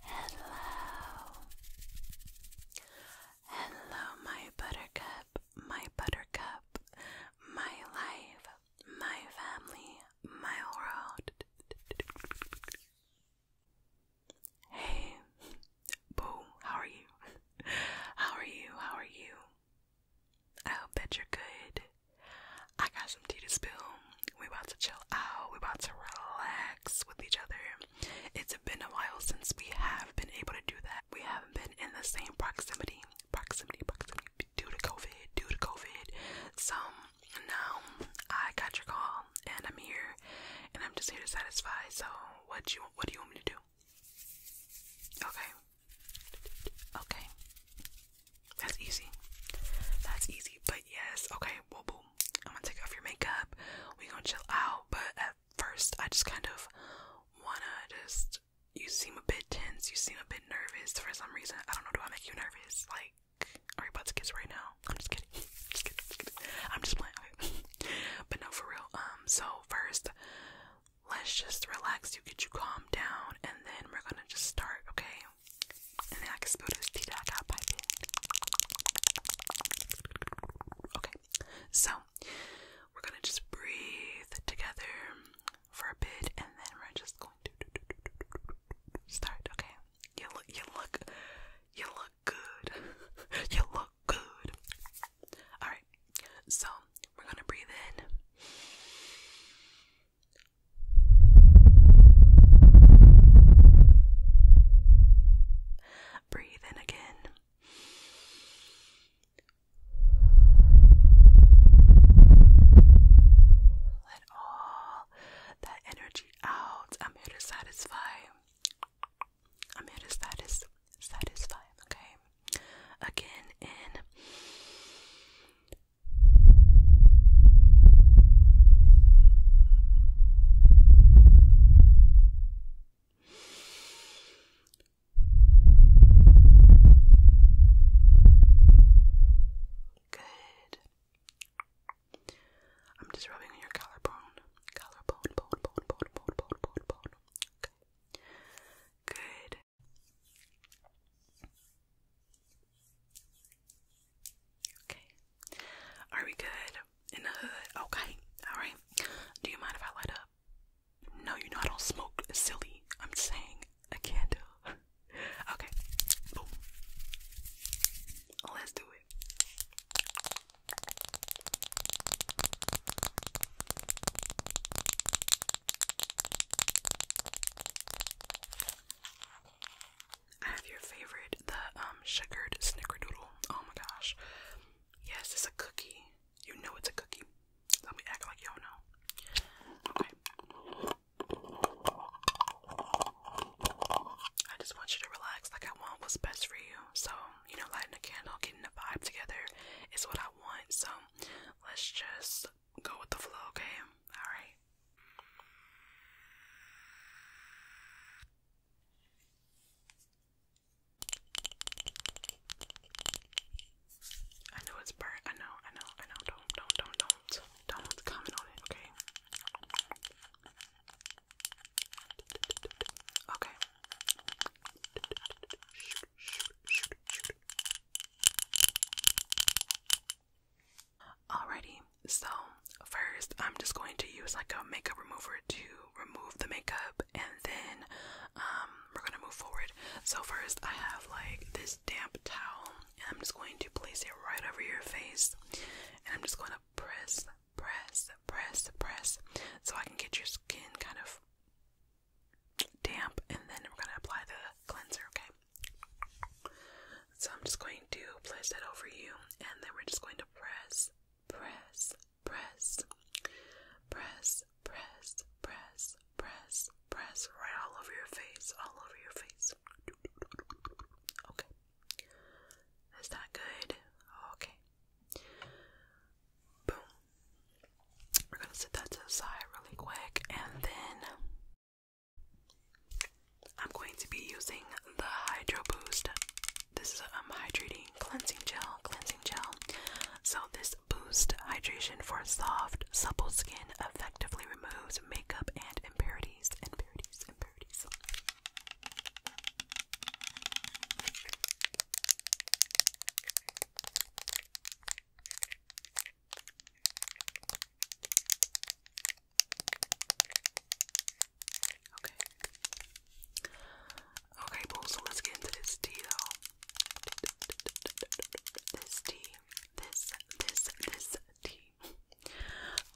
Hello. Hello, my buttercup, my buttercup, my life, my family, my world. Hey, Boo, how are you? How are you? How are you? I hope that you're good. I got some tea to spill we about to chill out, we about to relax with each other. It's been a while since we have been able to do that. We haven't been in the same proximity, proximity, proximity due to COVID, due to COVID. So now I got your call and I'm here and I'm just here to satisfy. So what you what do you want me to do? Okay. Okay. That's easy. That's easy. But yes, okay, well boom. I'm gonna take off your makeup. We gonna chill out. But at first I just kind of wanna just you seem a bit tense, you seem a bit nervous for some reason. I don't know, do I make you nervous? Like are you about to kiss right now? I'm just kidding. Just kidding. Just kidding. I'm just playing. Okay. but no, for real. Um, so first, let's just relax. You get you calm down, and then we're gonna just start. Okay, Okay, so we're gonna just breathe together for a bit, and then we're just going to start. Okay, you look, you look, you look good. you look good. All right, so we're gonna breathe in. Breathe in again. Let all that energy out. I'm here to satisfy. I'm here to satisfy, okay? Again, in. Good. I'm just rubbing on your collarbone. Collarbone, bone, bone, bone, bone, bone, bone, bone. Good. Okay. Are we good? In the hood? Okay. Alright. Do you mind if I light up? No, you know I don't smoke. silly. I'm saying a candle. okay. Let's do it. I have your favorite, the um sugared snickerdoodle. Oh my gosh. Yes, it's a cookie. You know it's a cookie. Let me act like you don't know. Okay. I just want you to relax like I want what's best for you. So, you know, lighting a candle, getting the vibe together is what I want. So let's just go with the flow, okay? Alright. I know it's burnt. I know, I know, I know. Don't, don't, don't, don't, don't comment on it, okay? Okay. Shoot, shoot, shoot, shoot. Alrighty, so first I'm just going to use like a makeup remover to remove the makeup and then um, we're gonna move forward. So first I have like this damp towel and I'm just going to place it right over your face and I'm just going to press, press, press, press so I can get your skin kind of damp and then we're gonna apply the cleanser, okay? So I'm just going to place that over you, and then we're just going to press, press, press, press, press, press, press, press, right all over your face, all over your face. Okay. Is that good? Okay. Boom. We're gonna set that to the side really quick, and then I'm going to be using the Hydro Boost. This is a um, hydrating cleansing gel, cleansing gel. So this boost hydration for soft, supple skin effectively removes makeup and impurities, impurities, impurities. Okay. Okay, well, so let's get into this tea though. This tea. This, this, this tea.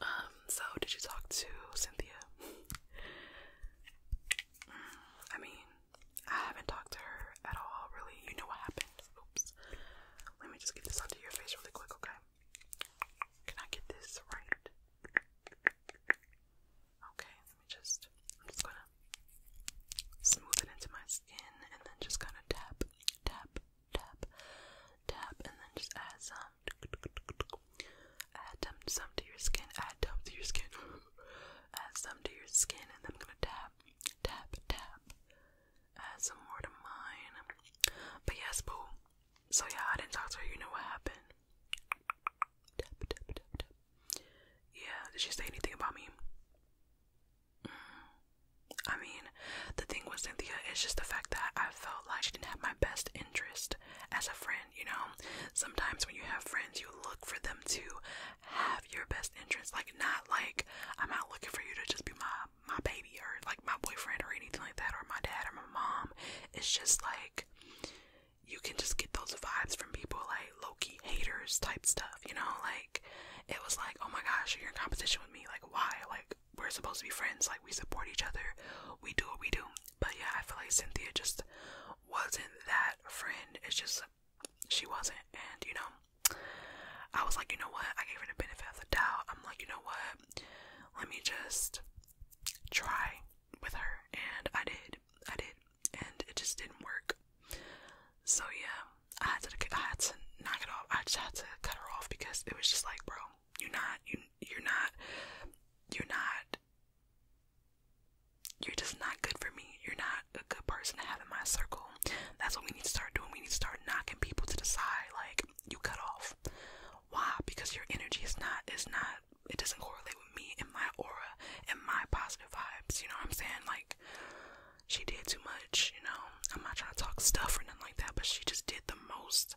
Um, so did you talk to Cynthia? Mm, I mean, I haven't talked to her at all, really. You know what happened. Oops. Let me just get this onto your face really quick, okay? Can I get this right? Okay, let me just. I'm just gonna smooth it into my skin and then just kind of tap, tap, tap, tap, and then just add some. Add them, some to your skin. Add them to your skin. add some to your skin, and then I'm gonna tap, tap, tap, add some more to mine. But yes, boo. So yeah, I didn't talk to her. You know what happened. Yeah, did she say anything about me? Mm. I mean, the thing with Cynthia is just the fact that I felt like she didn't have my best interest as a friend, you know? Sometimes when you have friends, you look for them to have your best interest. Like, not like I'm out looking for you to just be my my my baby or like my boyfriend or anything like that or my dad or my mom. It's just like you can just get those vibes from people like low-key haters type stuff, you know? Like it was like, oh my gosh, you're in competition with me. Like why? Like we're supposed to be friends. Like we support each other. We do what we do. But yeah, I feel like Cynthia just wasn't that friend. It's just she wasn't, and you know, I was like, you know what? I gave her the benefit of the doubt. I'm like, you know what? Let me just try with her. And I did. I did. And it just didn't work. So yeah, I had to I had to knock it off. I just had to cut her off because it was just like, bro, you're not you you're not you're not you're just not good for me. You're not a good person to have in my circle. That's what we need to start doing. We need to start knocking people to the side, like you cut off. Why? Because your energy is not is not it doesn't correlate with me and my aura and my positive vibes. You know what I'm saying? Like she did too much. You know, I'm not trying to talk stuff or nothing like that, but she just did the most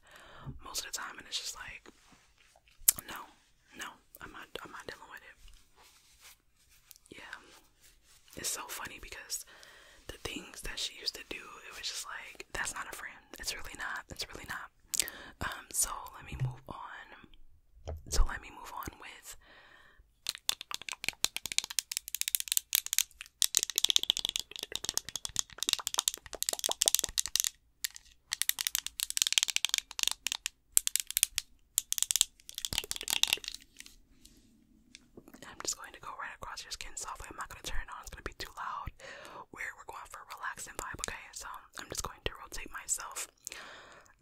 most of the time, and it's just like no, no, I'm not I'm not dealing with it. Yeah, it's so funny because the things that she used to do, it was just like, that's not a friend. It's really not. It's really not. Um, so let me move on. So let me move on with I'm just going to go right across your skin softly. I'm not going to turn it on. It's going to be too loud. We're, we're going for a relaxed vibe, okay? So I'm just going to rotate myself.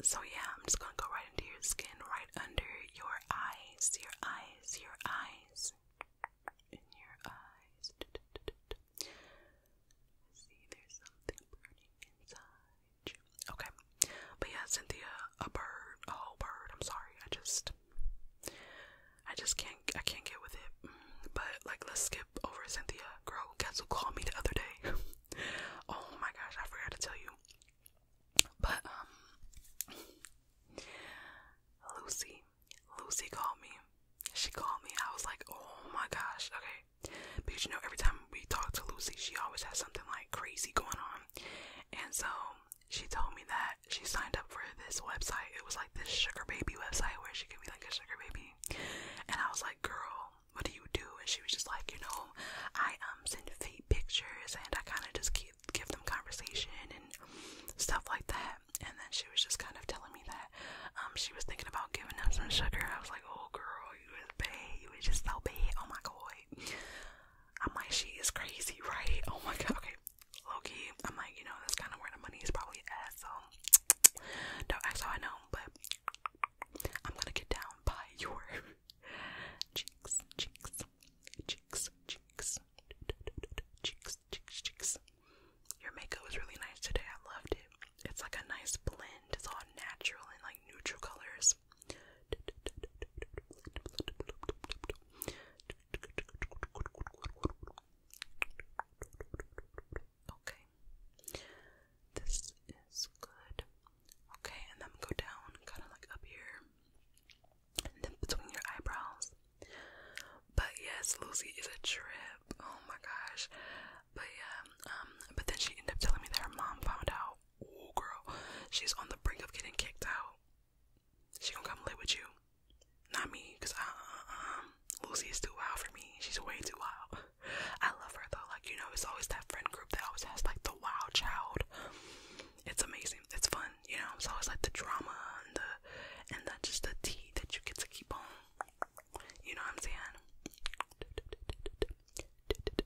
So yeah, I'm just going to go right into your skin, right under your eyes, your eyes, your eyes, in your eyes. See, there's something burning inside Okay. But yeah, Cynthia, a bird, a whole bird, I'm sorry. I just, I just can't I can't get with it. But like let's skip over Cynthia. Girl, Katsu called me the other day. oh my gosh, I forgot to tell you. But um Lucy. Lucy called me. She called me. I was like, oh my gosh, okay. Because you know, every time we talk to Lucy, she always has something like crazy going on. And so she told me that she signed up for this website. It was like this sugar baby website where she could be like a sugar baby. And I was like, girl, what do you do? And she was just like, you know, I um send feet pictures and I kind of just keep, give them conversation and stuff like that. And then she was just kind of telling me that um she was thinking about giving up some sugar. I was like, oh girl, you is be, You is just so bad. Oh my god. I'm like, she is crazy, right? Oh my god, okay. Loki, I'm like, you know, that's kind of where the money is probably at, so don't know, but I'm gonna get down by your cheeks, cheeks, cheeks, cheeks, cheeks, cheeks, cheeks. Your makeup was really nice today, I loved it. It's like a nice blend, it's all natural and like neutral colors. Okay. This is good. Okay, and then go down, kind of like up here, then between your eyebrows. But yes, Lucy is a trip. Oh my gosh. But yeah, um, but then she ended up telling me that her mom found out. Oh girl, she's on the brink of getting kicked out. She gonna come live with you. Not me, cause uh, uh, um, Lucy is too wild for me. She's way too wild. I love her though. Like you know, it's always that friend group that always has like the wild child. It's amazing. It's fun. You know, it's always like the drama and the and the just the tea that you get to keep on. You know what I'm saying?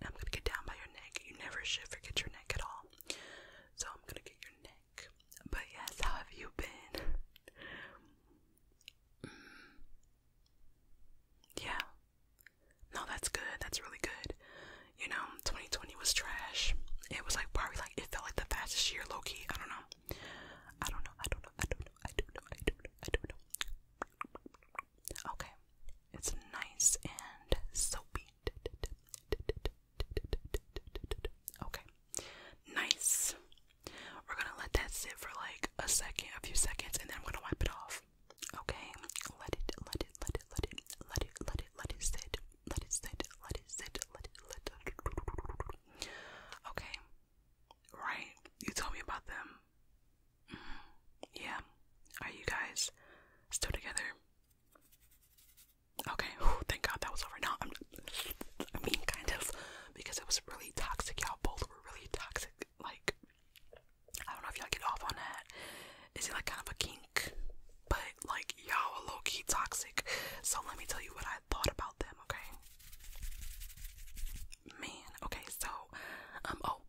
I'm gonna get down by your neck. You never should forget your neck at all. So I'm gonna get your neck. But yes, how have you been? mm. Yeah. No, that's good. That's really good. You know, 2020 was trash. It was like probably like it felt like the fastest year, low key. I don't know. I don't know. I don't know. I don't know. I don't know. I don't know. I don't know. Okay. It's nice and soapy. Okay. Nice. We're gonna let that sit for like a second, a few seconds, and then I'm gonna wipe it off. Okay. Let it, let it, let it, let it, let it, let it, let it sit. Let it sit. Let it sit. Let it let it. Okay. Right. You told me about them. Mm-hmm. Yeah. Are you guys still together? Okay, thank God that was over. Now, I'm, mean, kind of, because it was really toxic. Y'all both were really toxic. Like, I don't know if y'all get off on that. Is it like kind of a kink? But like, y'all are low key toxic. So let me tell you what I thought about them. Okay, man. Okay, so um, oh,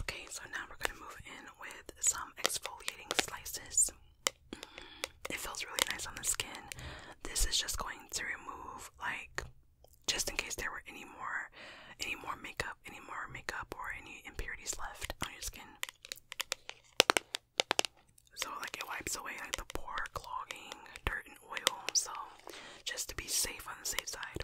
Okay, so now we're gonna move in with some exfoliating slices. Mm, it feels really nice on the skin. This is just going to remove, like, just in case there were any more, any more makeup, any more makeup, or any impurities left on your skin. So, like, it wipes away like the pore clogging, dirt oil, so just to be safe on the safe side.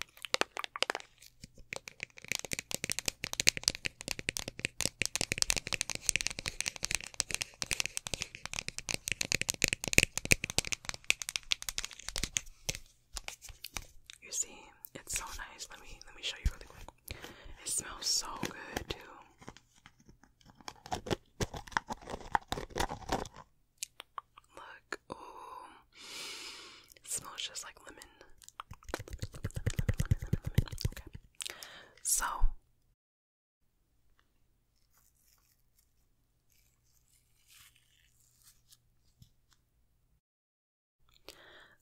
You see, it's so nice. Let me let me show you really quick. It smells so good too. Look, um, it smells just like lemon. so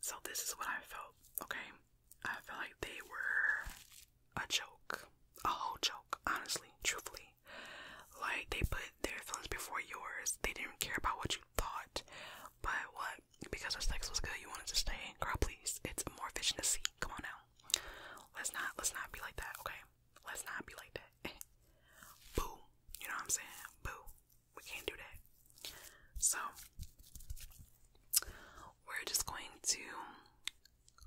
so this is what I felt. Okay, I felt like they were a joke, a whole joke. Honestly, truthfully, like they put their feelings before yours. They didn't care about what you thought. But what? Because the sex was good, you wanted to stay. Girl, please. It's more efficient to see. Come on now. Let's not let's not be like that, okay? Let's not be like that. Boo. You know what I'm saying? Boo. We can't do that. So we're just going to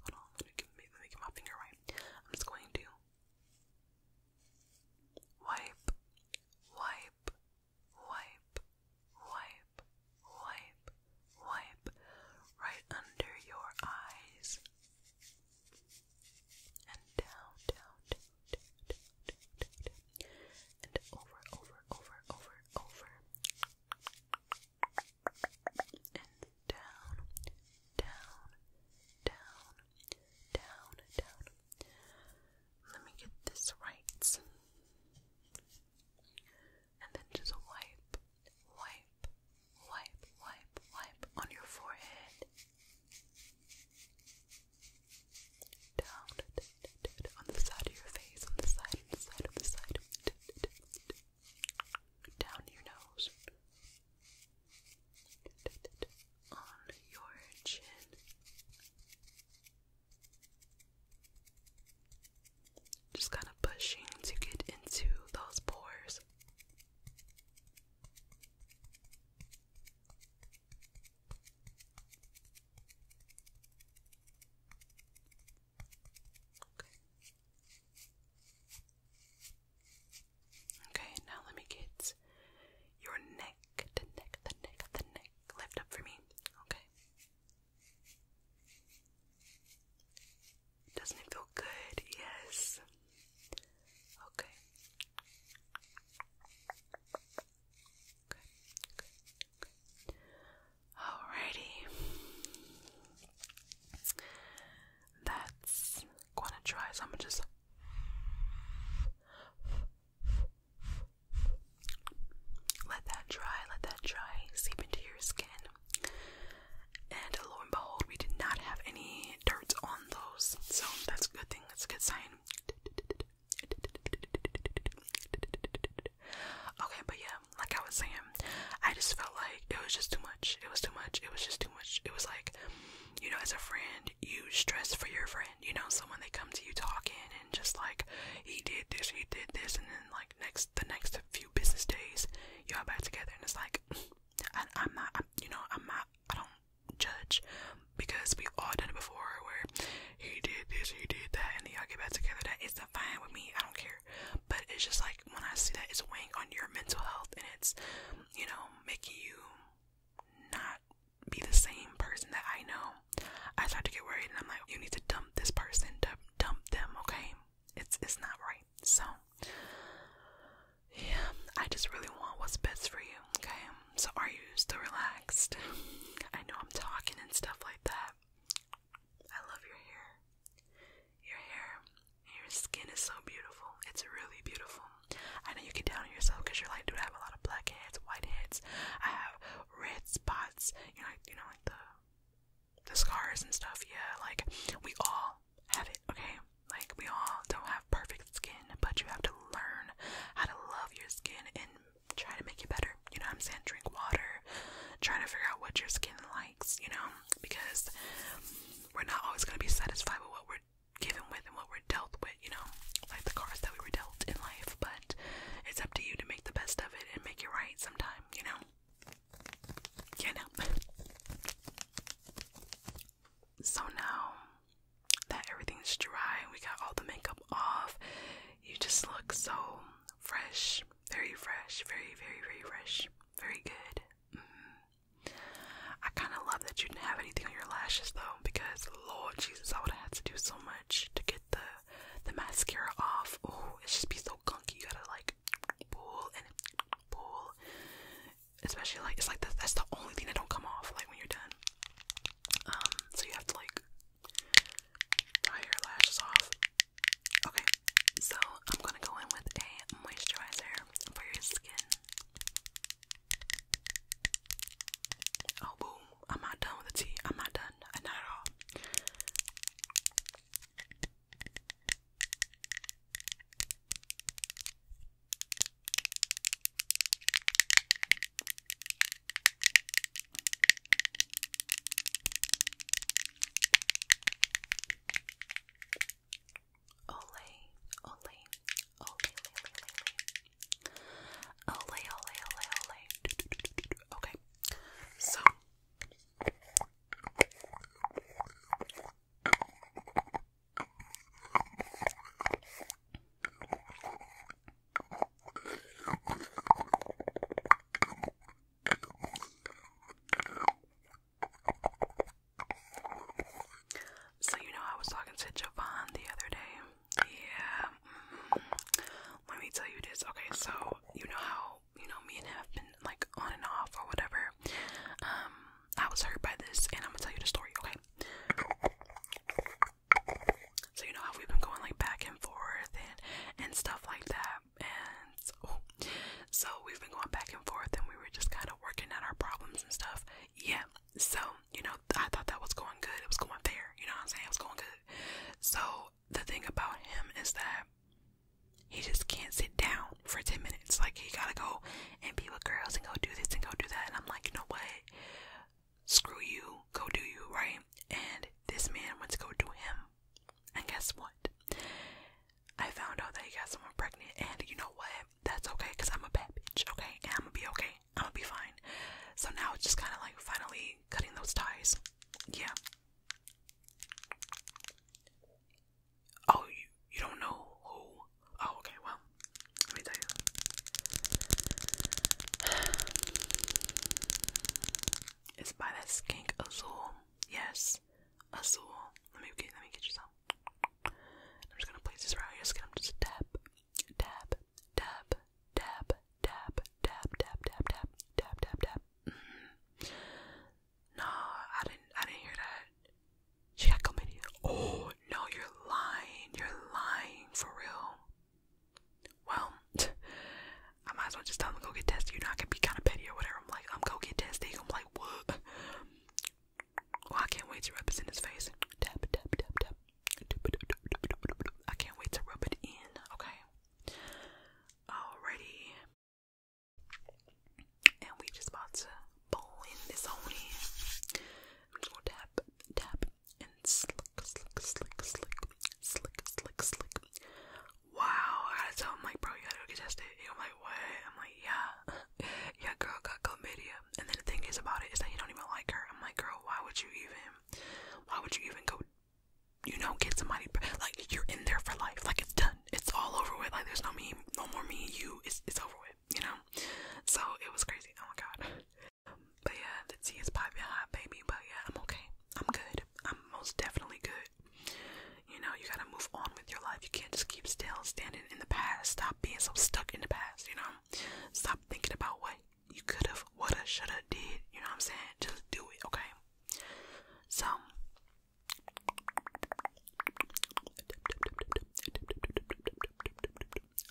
hold on, let me get my finger right. I'm just going to Wipe, wipe, wipe, wipe, wipe, wipe, right under your eyes and down, down, down, down, down, down, and over, over, over, over, over, down, down, down, down, down. Let me get this right. And then just wipe, wipe, wipe, wipe, wipe on your forehead. Down on the side of your face, on the side, on the side, on the side. Down your nose, on your chin. Just kind of pushing to get into those pores. Okay. Okay, now let me get your neck, the neck, the neck, the neck. Lift up for me. Okay. Doesn't it feel good? Yes. okay. Alrighty that's gonna try. So I'm gonna just. Let that dry, let that dry, seep into your skin. And lo and behold, we did not have any dirt on those, so that's a good thing, that's a good sign. Okay, but yeah, like I was saying, I just felt like it was just too much. It was too much. It was just which It was like, you know, as a friend, you stress for your friend. You know, someone they come to you talking and just like, he did this, he did this, and then like next the next few business days, y'all back together, and it's like, I, you know, I'm not, I don't judge because we all done it before where he did this, he did that, and y'all get back together. it's fine with me. I don't care, but it's just like when I see that it's weighing on your mental health and it's, you know, making you not be the same person that I know, I start to get worried and I'm like, you need to dump this person, dump, dump them, okay? It's it's not right. So yeah, I just really want what's best for you, okay? So are you still relaxed? I know I'm talking and stuff like that. I love your hair. Your hair, your skin is so beautiful. It's really beautiful. I know you get down on yourself because you're like, "Do I have a lot of blackheads, whiteheads. I have red spots. You know, like, you know, like the the scars and stuff. Yeah, like we all have it. Okay, like we all don't have perfect skin, but you have to learn how to love your skin and try to make it better. You know what I'm saying? Drink water. Try to figure out what your skin you know, because we're not always gonna be satisfied with what we're given with and what we're dealt with, you know, like the cards that we were dealt in life, but it's up to you to make the best of it and make it right sometime, you know? You know. so now that everything's dry we got all the makeup off, you just look so fresh, very fresh, very, very, very fresh, very good. Mm-hmm. I kind of love that you didn't have anything on your lashes though, because Lord Jesus, I would have had to do so much to get the the mascara off. Oh, it's just be so gunky. You gotta like pull and pull. Especially like it's like that's the only thing that don't come off like when you're done. Um, so you have to like dry your lashes off. Okay, so I'm gonna go in with a moisturizer for your skin. Oh boom, I'm not done with the tea. I'm not done. Not at all. Ole, ole, ole, ole, ole, ole, ole, ole, ole. Okay, so so you know I was talking to Javon the other day. Yeah. Mm-hmm. let me tell you this. Okay, so you know how you know me and him have been like on and off or whatever. Um, I was hurt by this, and I'm gonna tell you the story. Okay. So you know how we've been going like back and forth and and stuff like that. And so, we've been going back and forth, and we were just kind of working out our problems and stuff. Yeah. So you know, I thought that was going good. It was going fair. You know what I'm saying? It was going good. So the thing about him is that he just can't sit down for 10 minutes. Like, he gotta go and be with girls and go do this and go do that. And I'm like, you know what? Screw you. Go do you, right? And this man wants to go do him and guess what? I found out that you got someone pregnant, and you know what? That's okay, cause I'm a bad bitch, okay? And I'm gonna be okay. I'm gonna be fine. So now it's just kind of like finally cutting those ties. Yeah. Oh, you you don't know who? Oh, okay. Well, let me tell you. It's by that skink Azul. Yes, is azul. Let me get, let me get you some. I'm just gonna place this around your skin. I'm just tap, tap, tap, tap, tap, tap, tap, tap, tap, tap, tap, tap. Mm -hmm. No, I didn't. I didn't hear that. She got chlamydia. Oh no, you're lying. You're lying for real. Well, I might as well just tell them to go get tested. You're not gonna be kind of petty or whatever. I'm like, I'm um, go get tested. I'm what? I can't wait to rub this in his face. Tap, tap, tap, tap. I can't wait to rub it in, okay? Alrighty. And we just about to blend this on in. I'm tap, tap, and slick, slick, slick, slick, slick, slick, slick wow, I had to tell him, like, bro, you gotta go get tested. And I'm like, what? I'm like, yeah. yeah, girl got chlamydia. And then the thing is about it is that you don't even like her. I'm like, girl, why would you even, why would you even go, you know, get somebody, like, you're in there for life. Like, it's done. It's all over with. Like, there's no me, no more me, you. It's, it's over with, you know? So, it was crazy. Oh my god. But yeah, the tea is popping hot, baby. But yeah, I'm okay. I'm good. I'm most definitely good. You know, you gotta move on with your life. You can't just keep still standing in the past. Stop being so stuck in the past, you know? Stop thinking about what you could have, what I should have did. You know what I'm saying? Just do it, okay? So.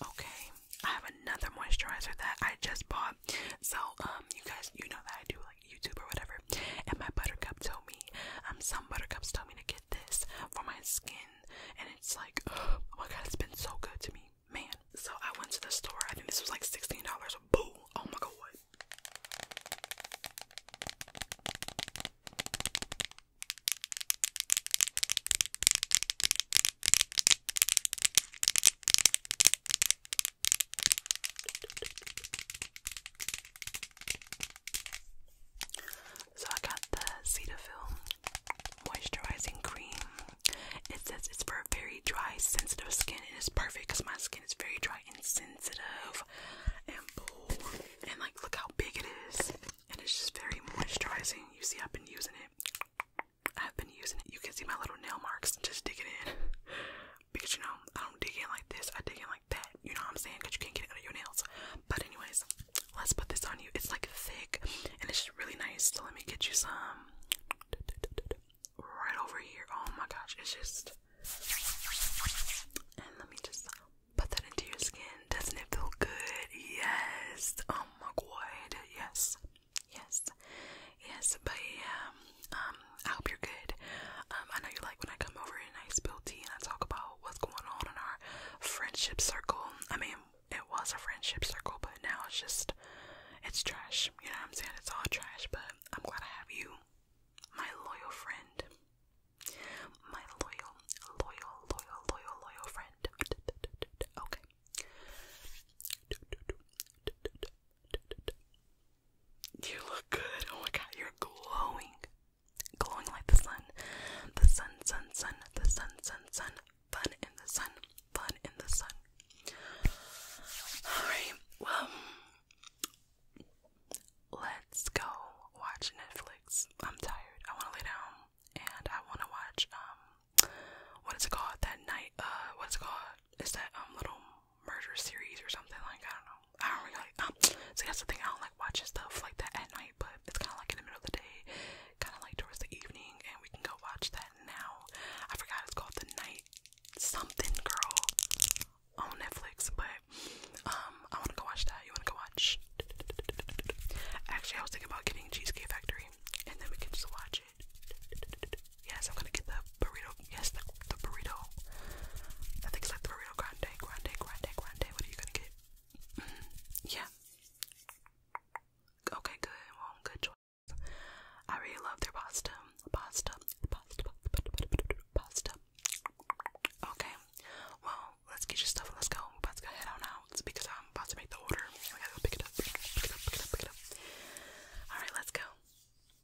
Okay, I have another moisturizer that I just bought. So, um, you guys, you know that I do YouTube or whatever, and my buttercup told me, um, some buttercups told me to get this for my skin, and it's like, oh my god, it's been so good to me, man. So I went to the store. I think this was like sixteen dollars. Boo! Oh my god. So I got the Cetaphil moisturizing cream. It says it's for very dry, sensitive skin, and it's perfect because my skin is very dry and sensitive and And like, look how big it is, and it's just very moisturizing. You see, I've been using it. I've been using it. You can see my little nail marks. Just dig it in because you know I don't dig in like this. I dig in like that. You know what I'm saying? Cause you can't get it under your nails. But anyways, let's put this on you. It's like thick and it's just really nice. So let me get you some right over here. Oh my gosh, it's just. And let me just put that into your skin. Doesn't it feel good? Yes. Oh my god. Yes. Yes. Yes. But yeah. Um, I hope you're good. Um, I know you like when I come over and I spill tea and I talk about what's going on in our friendship circle. I mean, it was a friendship circle, but now it's just, it's trash. You know what I'm saying? It's all trash, but I'm glad I have you, my loyal friend. My loyal, loyal, loyal, loyal, loyal friend. Okay. You look good. Oh my god, you're glowing. Glowing like the sun. The sun, sun, sun, the sun, sun, sun. Fun in the sun. Fun in the sun. Alright, well, let's go watch Netflix. I'm tired. I want to lay down and I want to watch, um, what is it called? That night, uh, what's it called? It's that, um, little murder series or something like I don't know. I don't really like. Um, so that's the thing. I don't like watching stuff like that at night, but it's kind of like in the middle of the day, kind of like towards the evening, and we can go watch that now. I forgot it's called The Night Something Girl on Netflix, but um, I want to go watch that. You want to go watch? Actually, I was thinking about getting Cheesecake Factory, and then we can just watch it. Yes, I'm gonna get the burrito. Yes, the, the burrito. I think it's like the burrito grande, grande, grande, grande. What are you gonna get? Mm -hmm. Yeah. Okay, good. Well, good choice. I really love their pasta. Pasta. Pasta. Pasta. Okay. Well, let's get your stuff and let's go. I'm about to go head on out it's because I'm about to make the order. I gotta go pick it up. Pick it up. Pick it up. Pick it up. Pick it up. All right, let's go.